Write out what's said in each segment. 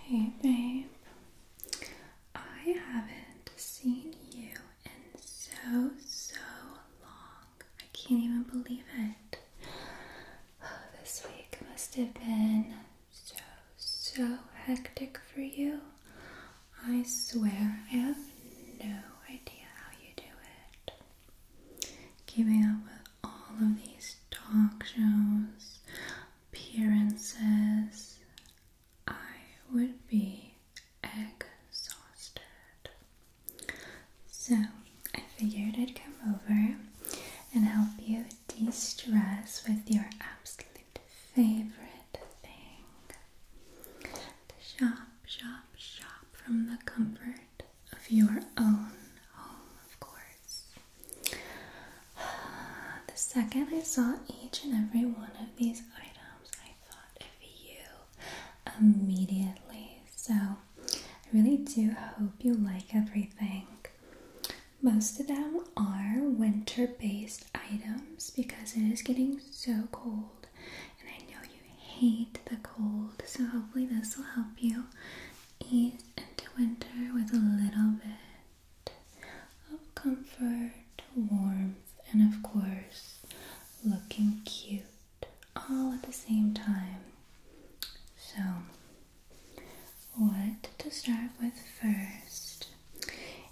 Hey, babe. I haven't seen you in so, so long. I can't even believe it. Oh, this week must have been so, so hectic for you. I swear I have no idea how you do it keeping up with all of these talk shows, appearances, I would be exhausted. So I figured I'd come over and help you de stress with your absolute favorite thing shop, shop, shop from the comfort of your own home, of course. The second I saw each and every one of these items, I thought of you immediately. So, I really do hope you like everything. Most of them are winter based items because it is getting so cold, and I know you hate the cold. So, hopefully, this will help you ease into winter with a little bit of comfort, warmth, and of course, looking cute all at the same time. So, what to start with first?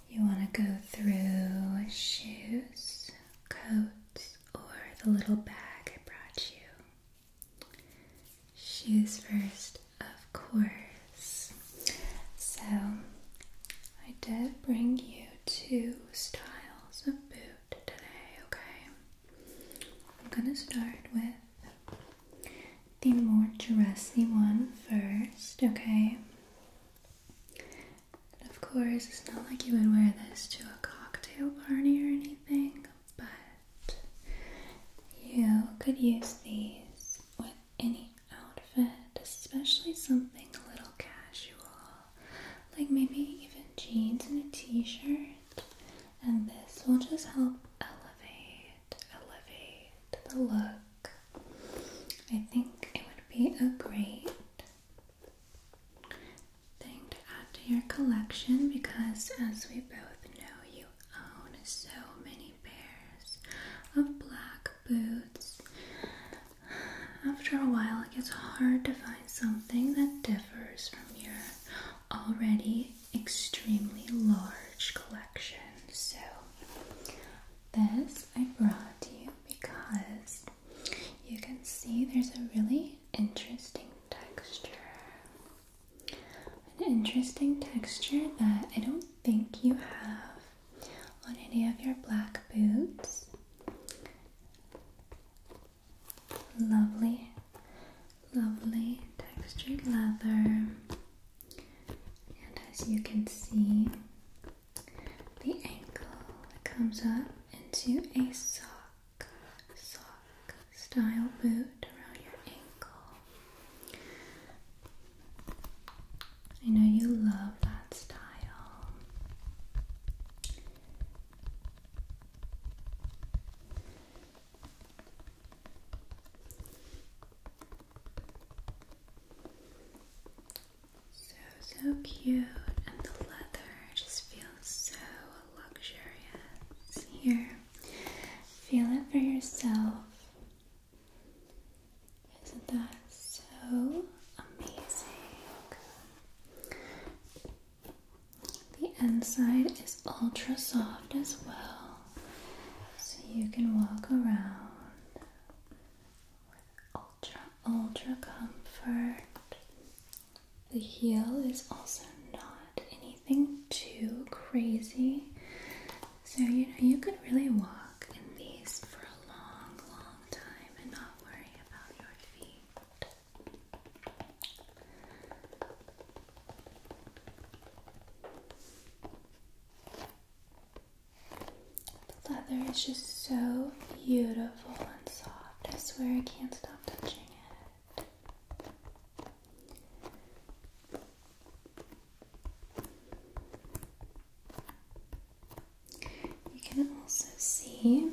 You want to go through shoes, coats, or the little bag I brought you. Shoes first, of course. So, I did bring you two styles of boot today, okay? I'm gonna start with the more dressy one first, okay? of course, it's not like you would wear this to a cocktail party or anything, but you could use these with any outfit, especially something a little casual, like maybe even jeans and a t shirt. And this will just help elevate, elevate the look. I think it would be a great thing to add to your collection because, as we both know, you own so many pairs of black boots. After a while, it gets hard to find something that differs from your already extremely large collection. So, this I brought to you because you can see there's a really interesting texture an interesting texture that I don't think you have on any of your black boots. Lovely, lovely textured leather. And as you can see, the ankle comes up into a sock sock style boot around your ankle. I know you love that style. So, so cute, and the leather just feels so luxurious here. Feel it for yourself. Isn't that so amazing? The inside is ultra soft as well, so you can walk around with ultra, ultra comfort the heel is also not anything too crazy. So, you know, you could really walk in these for a long, long time and not worry about your feet. The leather is just so beautiful and soft. I swear I can't stop touching it. You can also see,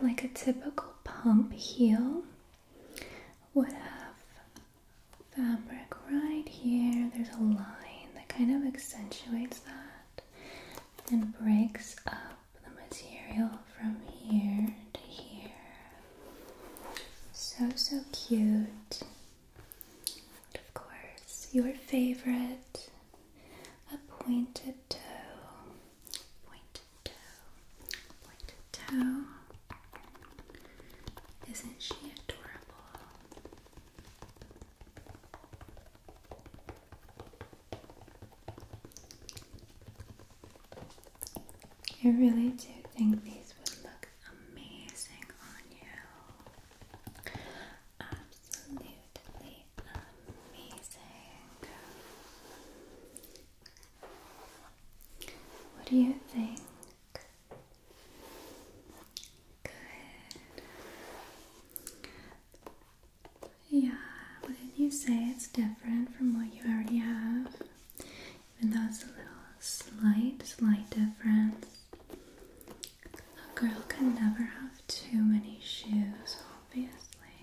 like a typical pump heel, would have fabric right here. There's a line that kind of accentuates that and breaks up the material from here to here. So, so cute. And of course, your favorite a pointed toe. Pointed toe. Pointed toe. Isn't she adorable? I really do think these would look amazing on you. Absolutely amazing. What do you think? Good. Yeah, did not you say it's different from what you already have? Even though it's a little slight, slight difference. A girl can never have too many shoes, obviously.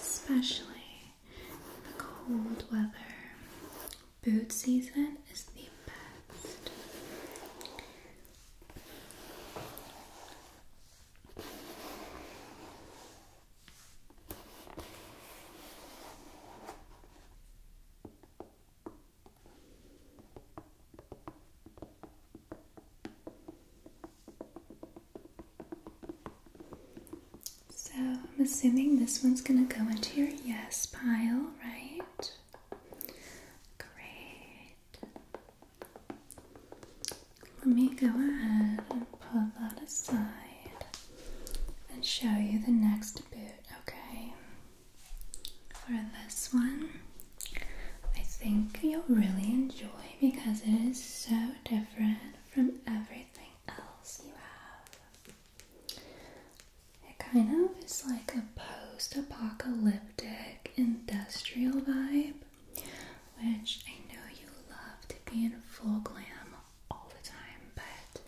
Especially the cold weather. Boot season is the best. So, I'm assuming this one's going to go into your yes pile, right? Great. Let me go ahead and pull that aside and show you the next boot, okay? For this one, I think you'll really enjoy because it is so different from everything else you have. It kind of is like a post apocalyptic industrial vibe which I know you love to be in full glam all the time, but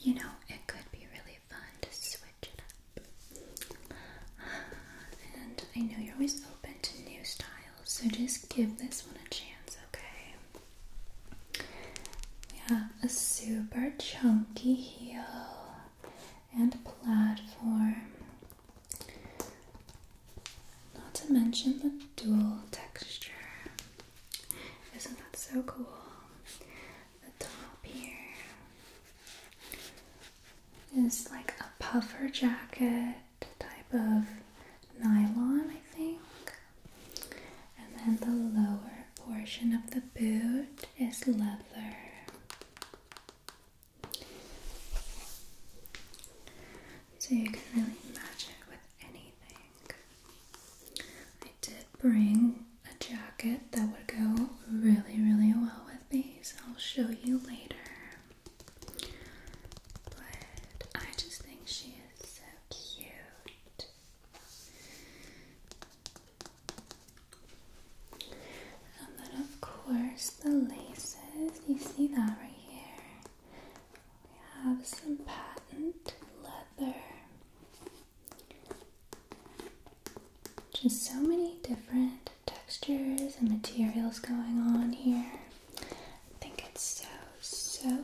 you know, it could be really fun to switch it up. And I know you're always open to new styles, so just give this one a chance, okay? We have a super chunky heel and platform not to mention the dual texture. Isn't that so cool? The top here is like a puffer jacket type of nylon, I think. And then the lower portion of the boot is leather. So you can really match it with anything. I did bring a jacket that would go really, really well with these. I'll show you later. But I just think she is so cute. And then, of course, the laces. You see that right here. We have some patent leather. Just so many different textures and materials going on here. I think it's so, so fun.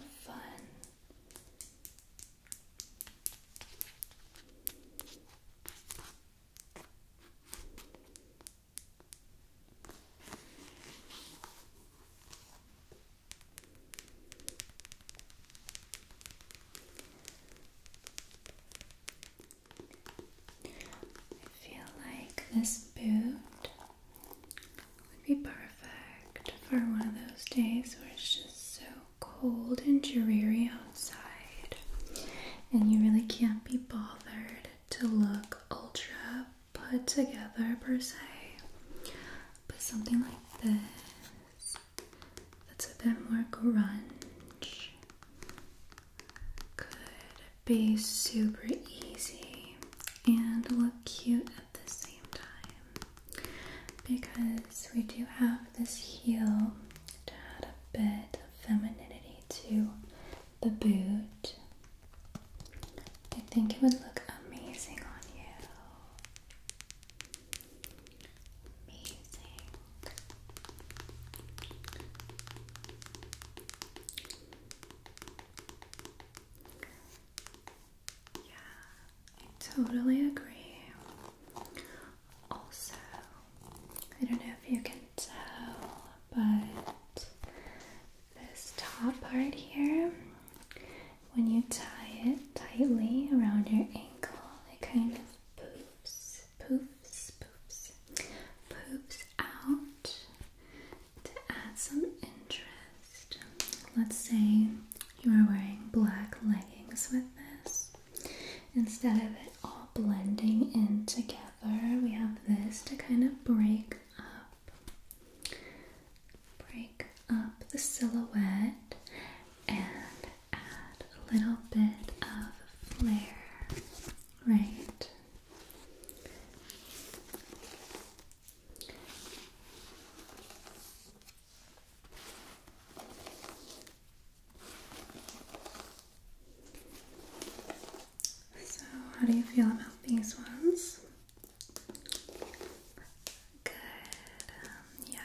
I feel like this boot would be perfect for one of those days where it's just so cold and dreary outside and you really can't be bothered to look ultra put together per se, but something like this that's a bit more grunge could be super easy and look cute at the same time because we do have this heel to add a bit of femininity to the boot. I think it would look amazing on you. Amazing. Yeah, I totally agree. Also, I don't know if you can tell, but this top part here, when you tie it tightly around your ankle, it kind of poofs, poofs, poofs, poofs out to add some interest. Let's say you are wearing black leggings with this. Instead of it all blending in together. We have this to kind of break up, break up the silhouette, and add a little bit of flare, right? So, how do you feel about these ones? Good. Um, yeah.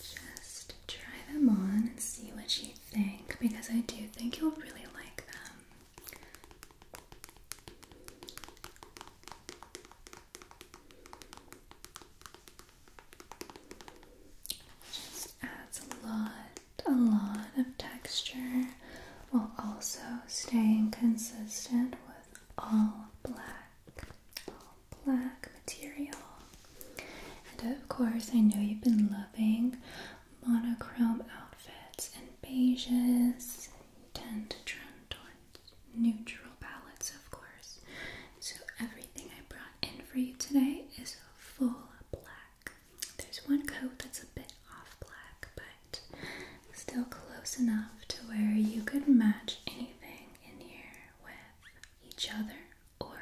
Just try them on and see what you think because I do think you'll really like them. Just adds a lot, a lot of texture while also staying consistent with all black, all black material. And of course, I know you've been loving monochrome outfits and beiges. You tend to trend towards neutral palettes, of course. So everything I brought in for you today is full black. There's one coat that's a bit off black, but still close enough to where you could match anything in here with each other or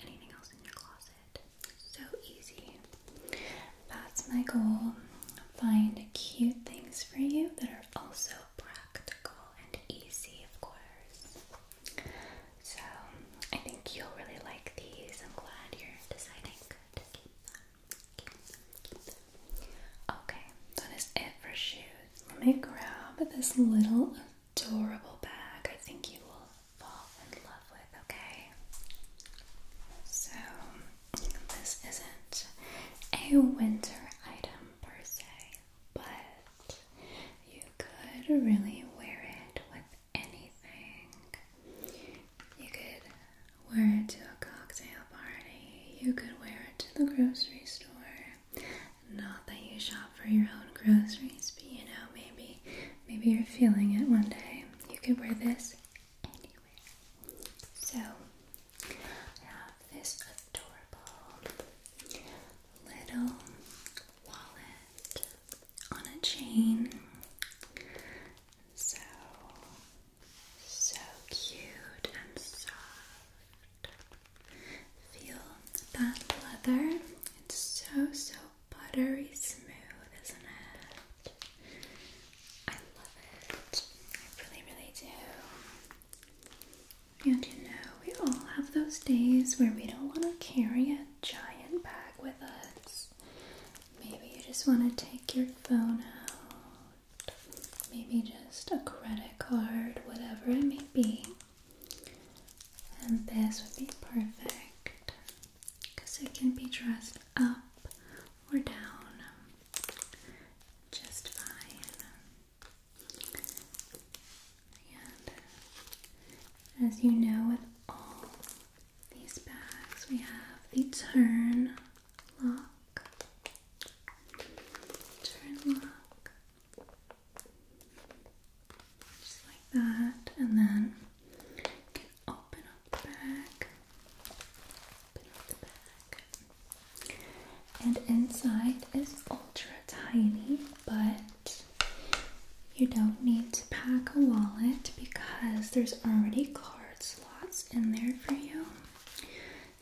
anything else in your closet. So easy. That's my goal. Find cute things for you that are also practical and easy, of course. So I think you'll really like these. I'm glad you're deciding to keep them. Okay, that is it for shoes. Let me grab this little adorable bag. I think you will fall in love with, okay? So this isn't a winter item per se, but you could really wear it with anything. You could wear it to a cocktail party, you could wear it to the grocery store. Not that you shop for your own groceries, but you know, maybe maybe you're feeling it one day. You could wear this anywhere. So I have this adorable little wallet on a chain. So, so cute and soft. Feel that leather. It's so, so buttery smooth, isn't it? I love it. I really, really do. And you know, we all have those days where we don't want to carry it giant bag with us. Maybe you just want to take your phone out. Maybe just a credit card, whatever it may be. And this would be perfect because it can be dressed up or down just fine as you know, with all these bags, we have the turn lock. Turn lock. Just like that. And then you can open up the bag. Open up the bag. And inside is ultra tiny, but you don't need to pack a wallet because there's already card slots in there for you.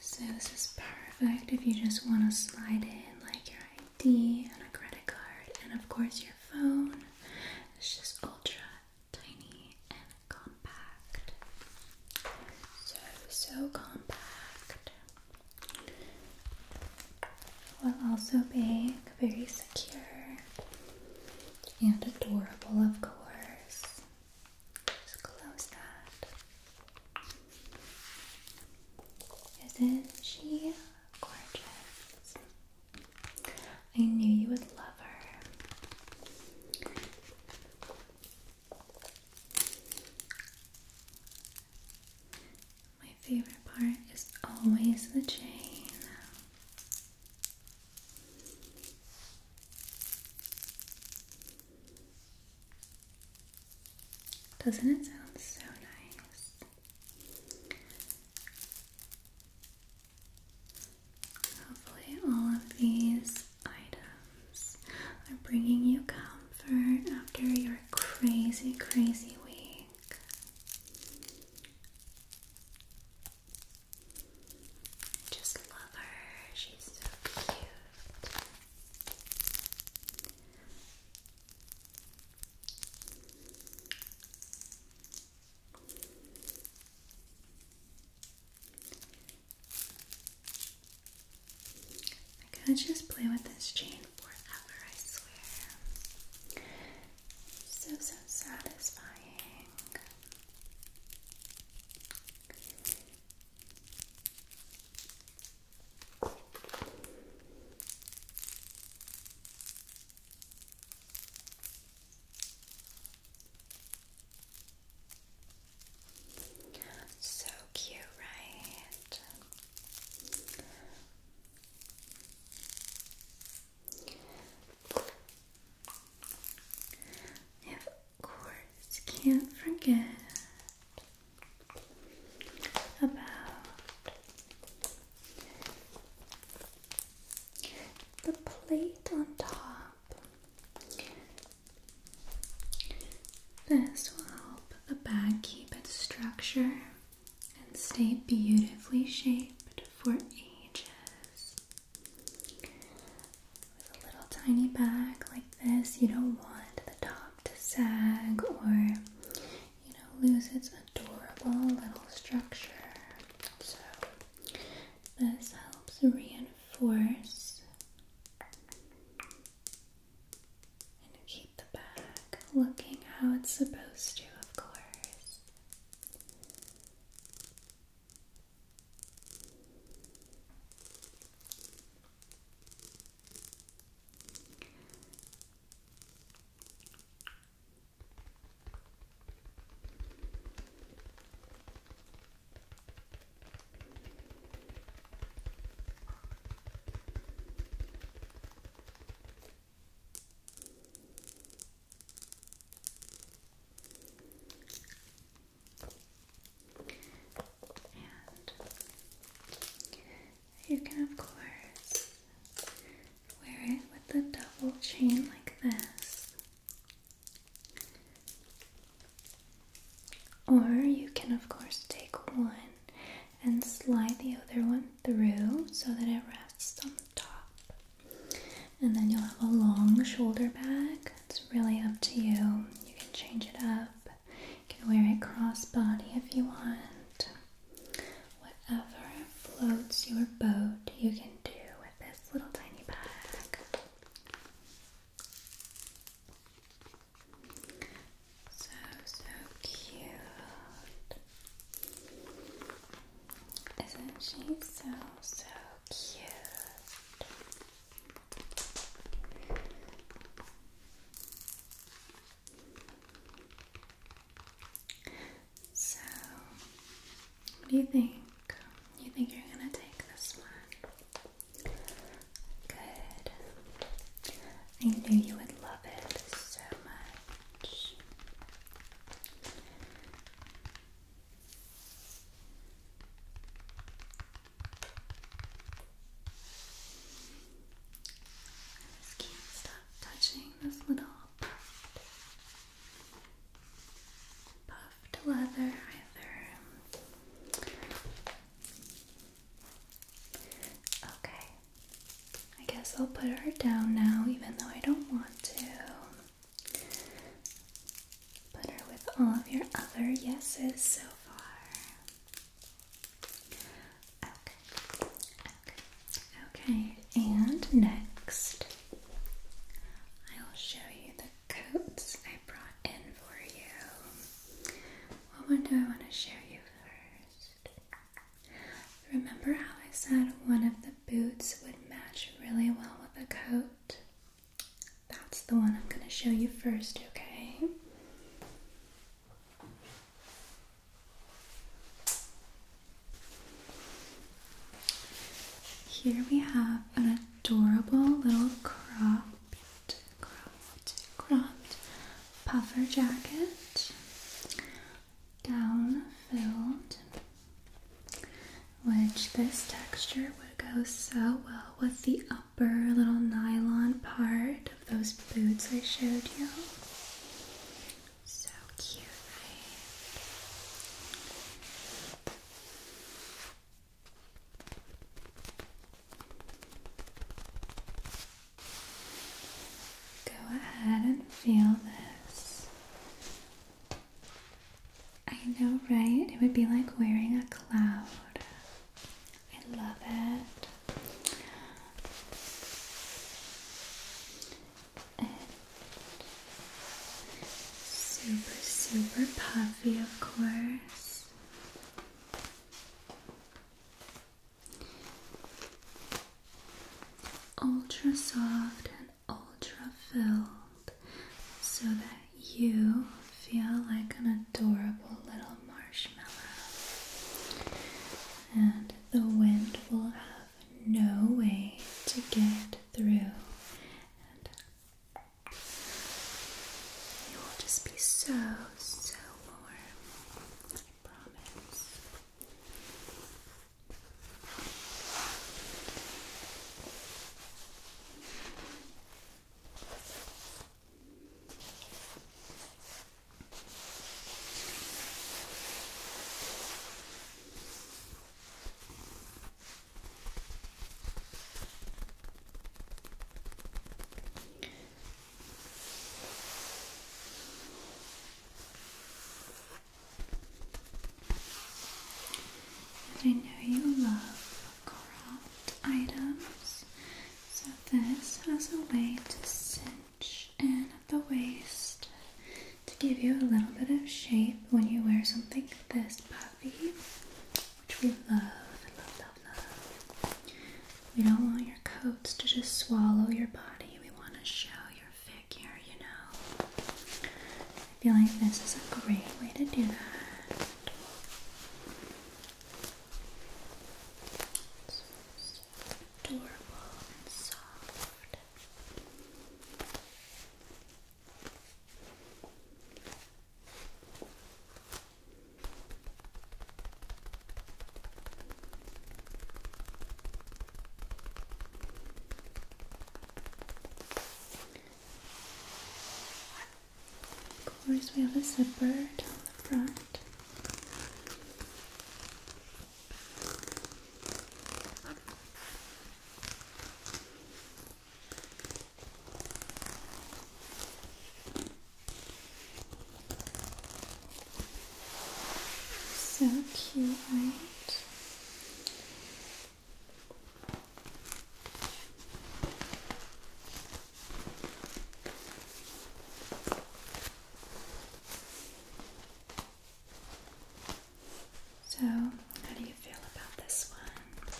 So, this is perfect if you just want to slide in like your ID and a credit card, and of course, your phone. It's just ultra tiny and compact. So, so compact. Will also being very secure and adorable, of course. Just close that. Isn't she gorgeous? I knew you would love her. My favorite part is always the chain. Doesn't it sound so nice? Hopefully, all of these items are bringing you comfort after your crazy, crazy week just love her. She's so cute. I'm gonna just play with this chain forever, I swear. So, so satisfying. So cute, right? Of course, can't forget about the plate on top. This will help the bag keep its structure and stay beautifully shaped for ages. With a little tiny bag like this, you don't want the top to sag or you know lose its adorable little structure. So this helps reinforce and keep the bag looking how it's supposed to, of course you can, of course, wear it with a double chain like this. Or you can, of course, take one and slide the other one through so that it rests on the top. And then you'll have a long shoulder bag. It's really up to you. You can change it up. You can wear it crossbody if you want. Whatever floats your boat, you can do with this little tiny bag. So, so cute. Isn't she so, so cute? So, what do you think? You think you're gonna take this one? Good. I knew you would love it so much. I just can't stop touching this little puffed, leather either. Okay, I guess I'll put her down now, even though I don't want to. Put her with all of your other yeses so far. Okay, okay, okay. And next, I will show you the coats I brought in for you. What one do I want to show you first? Remember how I said one of the boots would match really well with a coat? That's the one I'm going to show you first, okay? Here we have an adorable little cropped, cropped, puffer jacket, down filled, which this texture would go so well with the upper little nylon part of those boots I showed you. So cute, Go ahead and feel this. I know, right? It would be like wearing a cloud. I love it. super, super puffy, of course ultra soft and ultra filled so that you feel like an adorable little marshmallow. And the wind will have no way to get through. And you will just be so, so warm. I promise. I know you love craft items, so this has a way to cinch in at the waist to give you a little bit of shape when you wear something this puffy, which we love, love, love, love. We don't want your coats to just swallow your body. We want to show your figure, you know. I feel like this is a great way to do that. It's so adorable and soft. Of course, we have a zipper down the front. So cute, right? So, how do you feel about this one?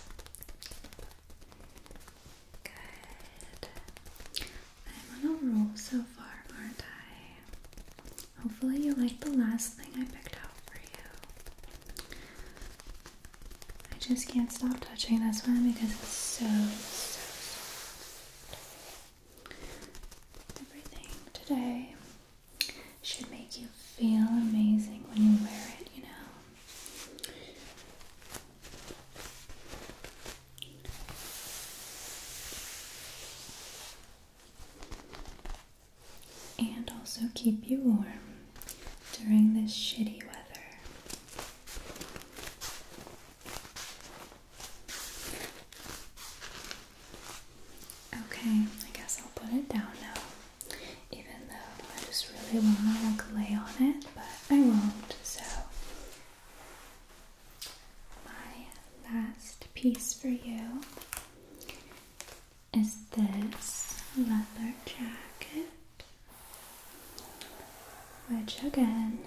Good. I'm on a roll so far, aren't I? Hopefully, you like the last thing I picked out for you. I just can't stop touching this one because it's so, so soft. Everything today should make you feel amazing when you wear it, you know? and also keep you warm during this shitty weather. Okay, I guess I'll put it down now. Even though I just really wanna like lay on it, but I won't, so my last piece for you is this leather jacket, which again,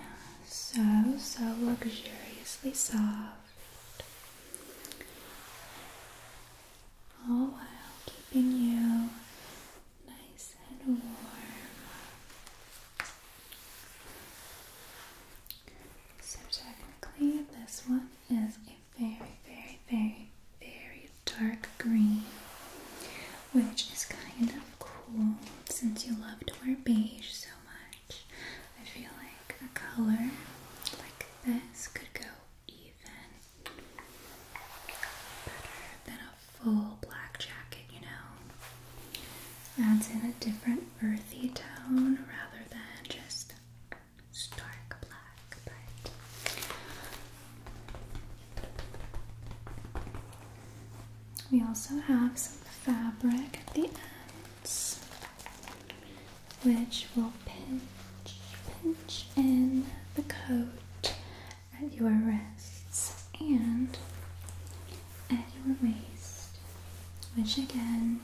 so so luxuriously soft, all while keeping you nice and warm. So, technically, this one is a very, very, very, very dark green, which is kind of cool since you love to wear beige so much. I feel like a color like this could go even better than a full black jacket, you know, adds in a different earthy tone rather than just dark black. But we also have some fabric at the ends, which will pinch, pinch in the coat at your wrists and at your waist, which again,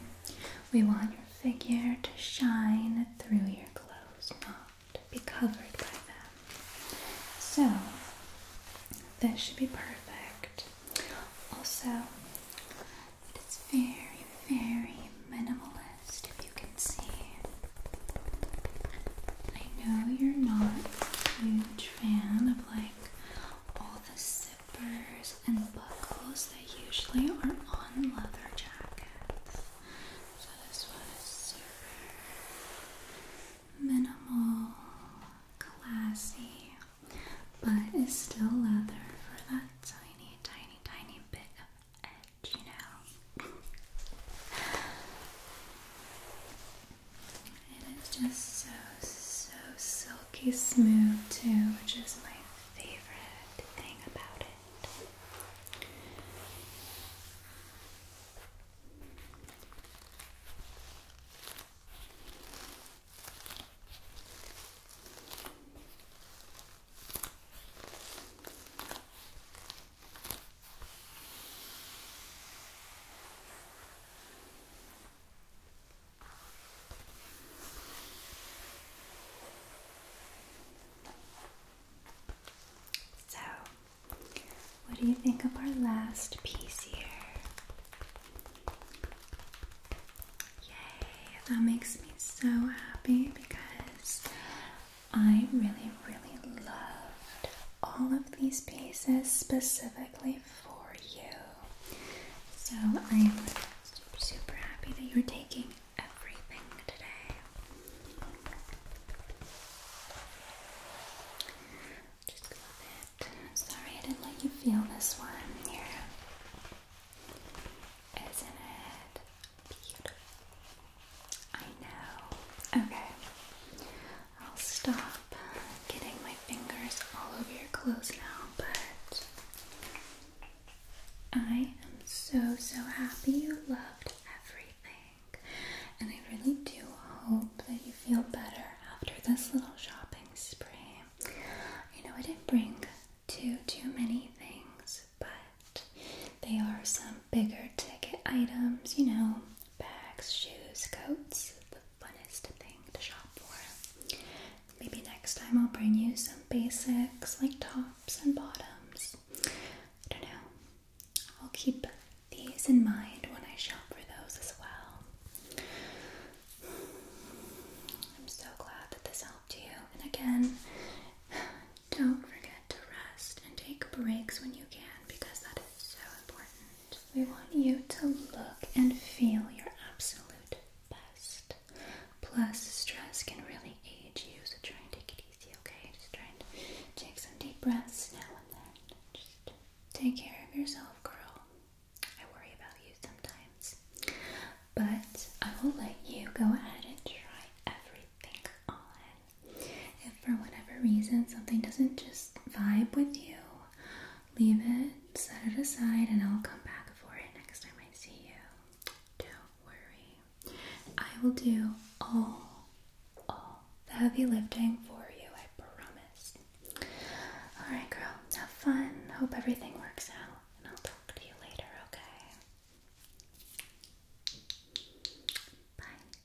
we want your figure to shine through your clothes, not be covered by them. So, this should be perfect. Also, it is very, very minimalist, if you can see. I know you're not huge fan of like all the zippers and buckles that usually are on leather jackets. So this one super minimal, classy, but is still leather for that tiny, tiny, tiny bit of edge, you know. And it's just so, so silky smooth, too, which is my favorite thing about it. So, what do you think of our last piece here? Yay, that makes me so happy because I really, really love all of these pieces specifically for you. So I'm super, happy that you're taking everything today. Just go with I'm sorry I didn't let you feel this one here. Isn't it beautiful? I know. Okay. I'll stop up getting my fingers all over your clothes now, but I am so so happy you loved everything. And I really do hope that you feel better after this little shopping spree. You know I didn't bring too too many things, but they are some bigger ticket items, you know, bags, shoes, coats, the funnest thing to shop for. Maybe next time I'll bring you some basics like tops and bottoms. I don't know. I'll keep these in mind when I shop for those as well. I'm so glad that this helped you. And again, don't forget to rest and take breaks when you can because that is so important we want you to look and feel your absolute best. Plus, stress can really age you, so try and take it easy, okay? Just try and take some deep breaths now and then. Just take care of yourself, girl. I worry about you sometimes. But I will let you go ahead and try everything on. If for whatever reason something doesn't just vibe with you, leave it, set it aside, and I'll come back for it next time I see you. Don't worry. I will do all, all the heavy lifting for you, I promise. Alright, girl, have fun. Hope everything works out, and I'll talk to you later, okay? Bye.